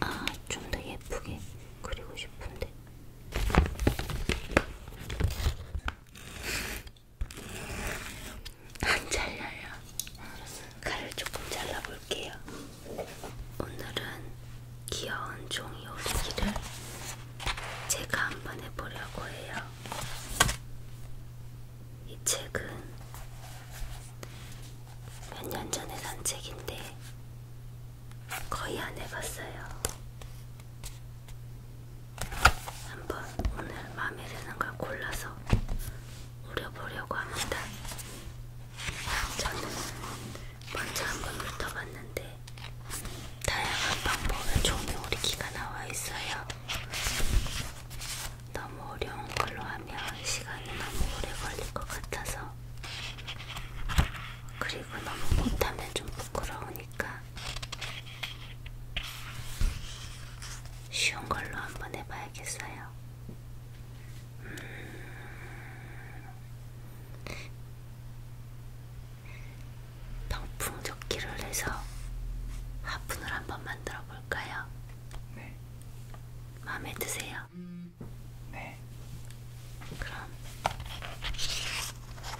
아, 좀 더 예쁘게 그리고 싶은데. 음, 안 잘라요. 칼을 조금 잘라볼게요. 오늘은 귀여운 종이 오리기를 제가 한번 해보려고 해요. 이 책은 몇 년 전에 산 책인데 거의 안 해봤어요. 한번 오늘 마음에 드는 걸 골라서 우려보려고 합니다. 저는 먼저 한번 훑어봤는데 다양한 방법의 종이 오리기가 나와 있어요. 너무 어려운 걸로 하면 시간이 너무 오래 걸릴 것 같아서 그리고 너무 못하면 좀 부끄러우니까 쉬운 걸로 한번 해봐야겠어요. 음... 병풍 조끼를 해서 화분을 한번 만들어 볼까요? 네. 마음에 드세요? 네. 그럼 한번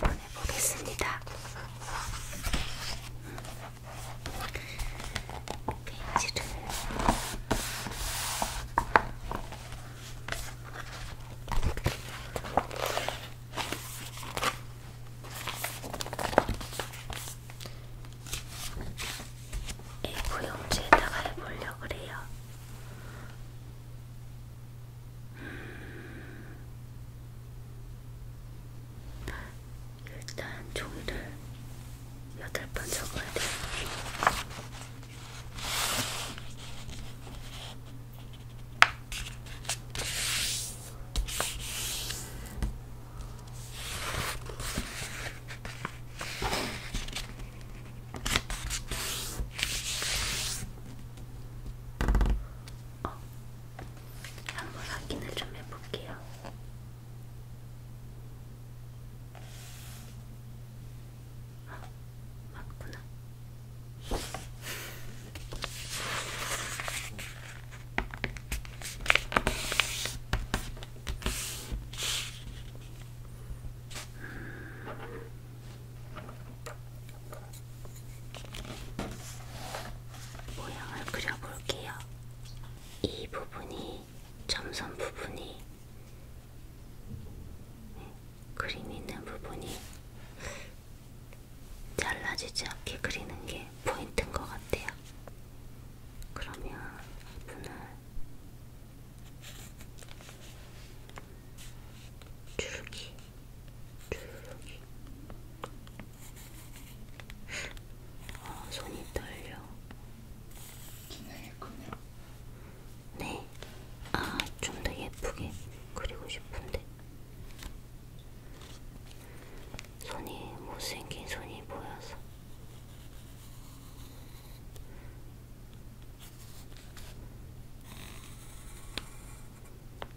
이걸 한번 해보겠습니다. 페이지를 A4 용지에다가 해보려고 그래요. 음... 일단 종이를 여덟 번 적어야 돼요. 어, 한번 확인을 좀 해볼게요. 아, 맞구나. 모양을 그려볼게요. 이 부분이 점선 부분이 그림 있는 부분이 잘라지지 않게 그리는 게 포인트인 것 같아요. 그러면 분을 줄기, 줄기. 어, 손이 떨려. 기능했군요. 네. 아, 좀 더 예쁘게 그리고 싶은데. 손이 못생긴 손이 보여서.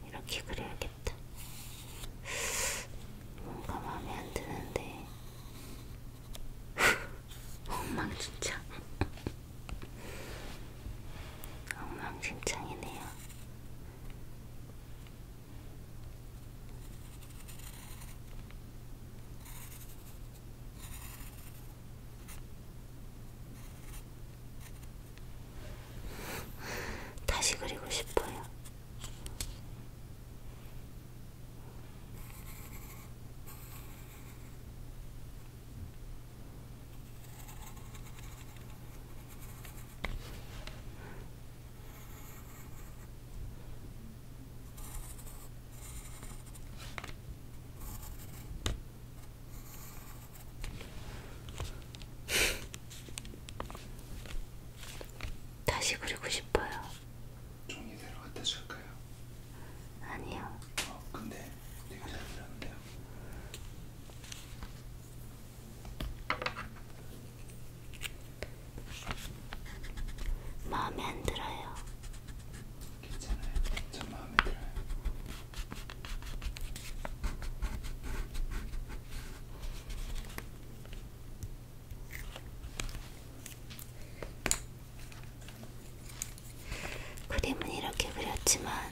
이렇게 그려야겠다. 뭔가 마음에 안 드는데. 엉망진창. 엉망진창이네요. 다시 그리고 싶어요. 다시 그리고 싶어요. 종이대로 갖다 줄까요? 아니요. 어, 근데 되게 잘 들었는데요. 마음에 안 들어요. 괜찮아요. 전 마음에 들어요. 그림은 이렇게 그렸지만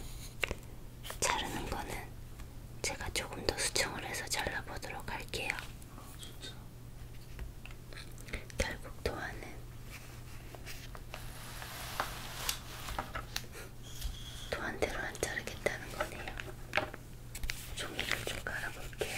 자르는 거는 제가 조금 더 수정을 해서 잘라보도록 할게요. 아, 진짜. 결국 도안은 도안대로 안 자르겠다는 거네요. 종이를 좀 깔아볼게요.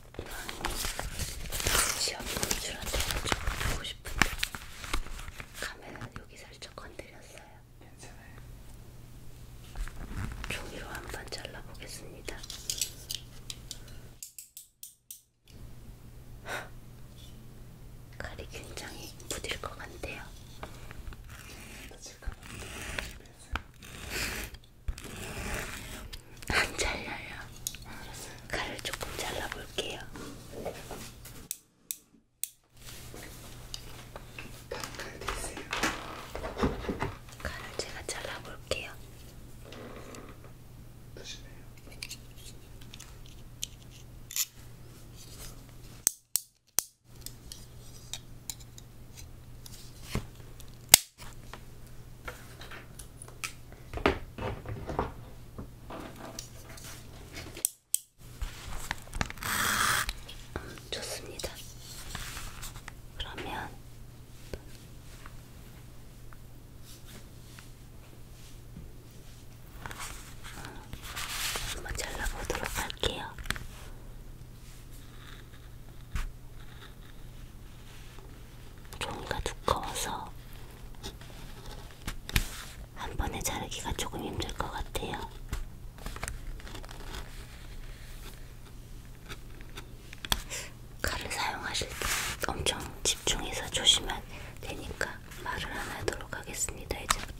시험 검출한테 좀 하고 싶은데 카메라 여기 살짝 건드렸어요. 괜찮아요. 종이로 한번 잘라보겠습니다. 칼이 굉장히 부딜 것 같네요. 안 잘라요. 칼을 조금 잘라볼게요. 칼 대세요. 칼을 제가 잘라볼게요. 조심해요. 음, 좋습니다. 그러면 한번 잘라보도록 할게요. 종이가 두꺼워서 한 번에 자르기가 조금 힘들 것 같아요. 칼을 사용하실 때 엄청 집중해서 조심한 되니까 말을 안 하도록 하겠습니다. 이제부터.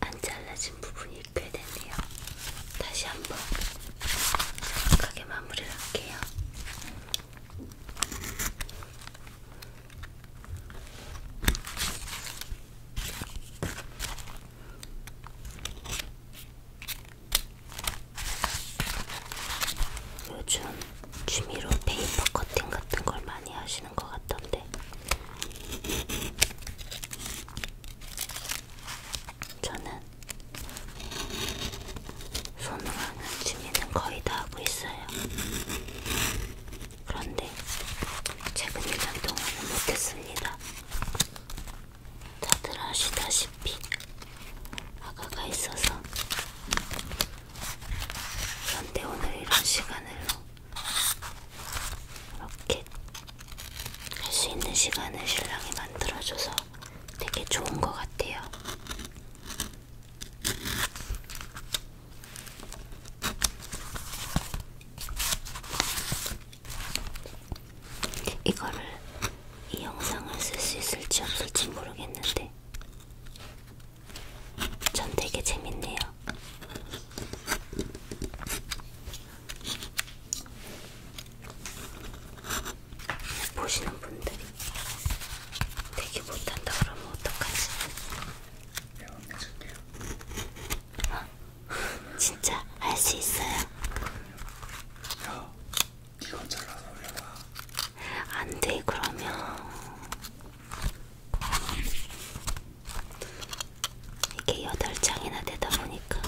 안 잘라진 부분이 꽤 됐네요. 다시 한번 정확하게 마무리를 할게요. 요즘 취미로 페이퍼 커팅 같은 걸 많이 하시는 것 같던데 저는 손으로 하는 취미는 거의 다 하고 있어요. 그런데 최근 1년 동안은 못했습니다. 다들 아시다시피 아가가 있어서 그런데 오늘 이런 시간으로 이렇게 할 수 있는 시간을 신랑이 만들어줘서 되게 좋은 것 같아요. 이거를 이 영상을 쓸 수 있을지 없을지 모르겠는데 전 되게 재밌네요. 보시는 분들이 되게 못한다 그러면 어떡하지? 배워줄게요. 어? 진짜 할 수 있어요. 야, 이건 잘라서 올려봐. 안돼 그러면 이게 여덟 장이나 되다 보니까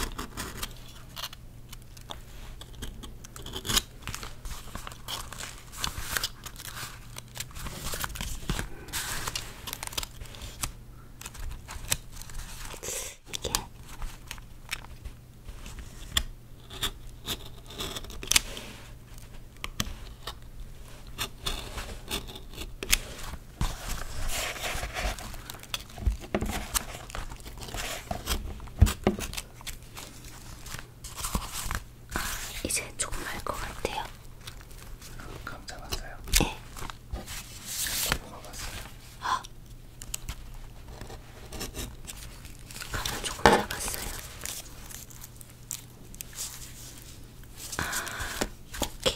이게 아, 이제 조금 알 것 같아요. 감자 봤어요? 네. 고구마 봤어요? 아. 감자 조금 잡았어요. 아, 오케이.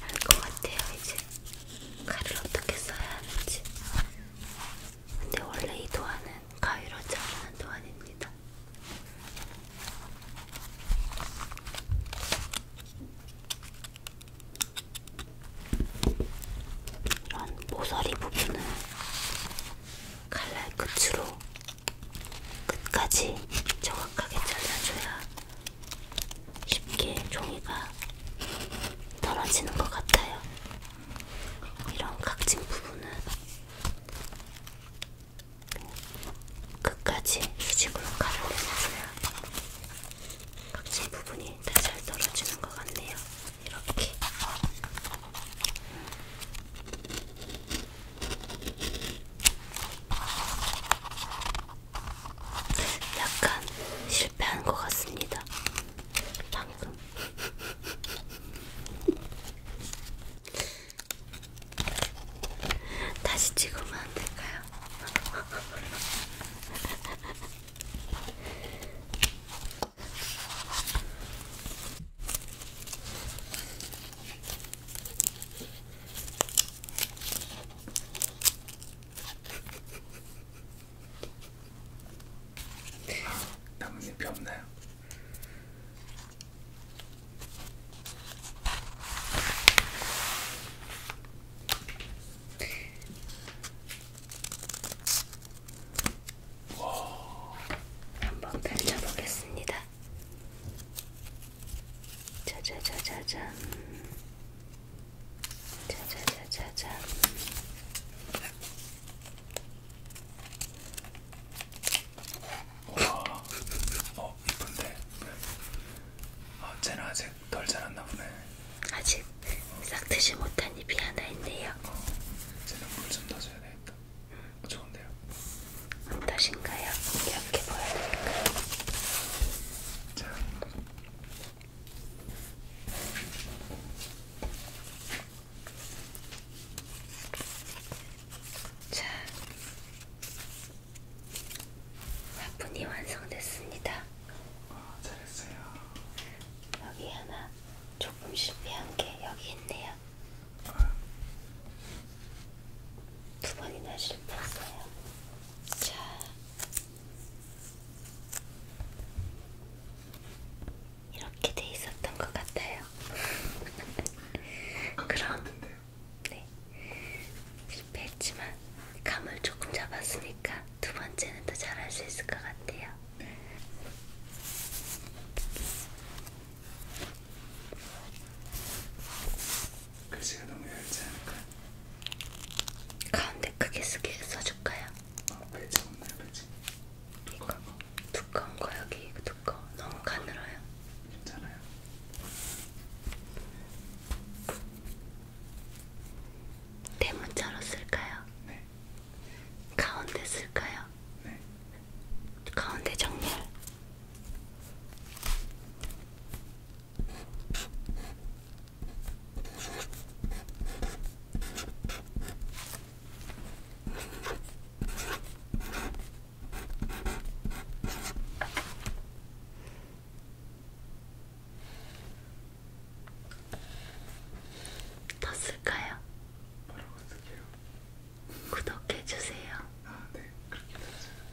알것 같아요, 이제. 칼을 어떻게 써야 하는지. 근데 네, 원래 이 도안은 가위로지 않는 도안입니다. 이런 모서리 부분은 칼날 끝으로 끝까지 정확하게 잘라줘야 쉽게 종이가 떨어지는 것 같아요. 이런 각진 부분은 끝까지 수직으로 가려내줘야 각진 부분이 다 잘 떨어지는 것 같네요. 이렇게. 약간 실패한 것 같습니다. 방금. 다시 찍으면 안 될까요? 아, 나뭇잎이 없나요? 와. 한번 펼쳐보겠습니다. 짜자자자잔. 자자자자자. 우와, 어 이쁜데. 아, 쟤는 아직 덜 자랐나 보네. 아직 싹 드지 못한 잎이 하나 있네요. 어, 쟤는 물좀더 줘야 되겠다. 어, 좋은데요. 어떠신가요? 이렇게 보여드릴까요? 자, 자, 화분이 완성됐습니다. 어, 잘했어요. 여기 하나 조금 실패한 게 여기 있네요. 어. 두 번이나 실패했어요. 자, 이렇게 돼 있었던 것 같아요. 그럼 네 실패했지만 감을 조금 잡았으니까 두 번째는 더 잘할 수 있을 것 같아요. 네. 글씨가 너무 얇지 않을까? 가운데 크게 쓰게 써줄까요? 어, 배지 없나요, 배지? 두꺼운 거? 두꺼운 거 여기 두꺼워. 너무 가늘어요. 괜찮아요. 대문자로 쓸까요? 네. 가운데 쓸까요? 네. 가운데 정렬. 더 쓸까요? 뭐라고 쓸게요? 구독해주세요. 아, 네. 그렇게 되세요.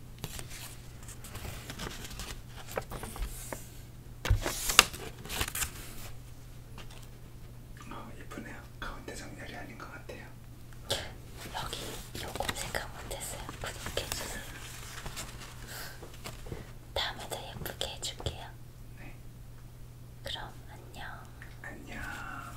어, 예쁘네요. 가운데 정렬이 아닌 것 같아요. 여기 요거 생각 못했어요. 구독해주세요. 다음에 더 예쁘게 해줄게요. 네. 그럼 안녕. 안녕.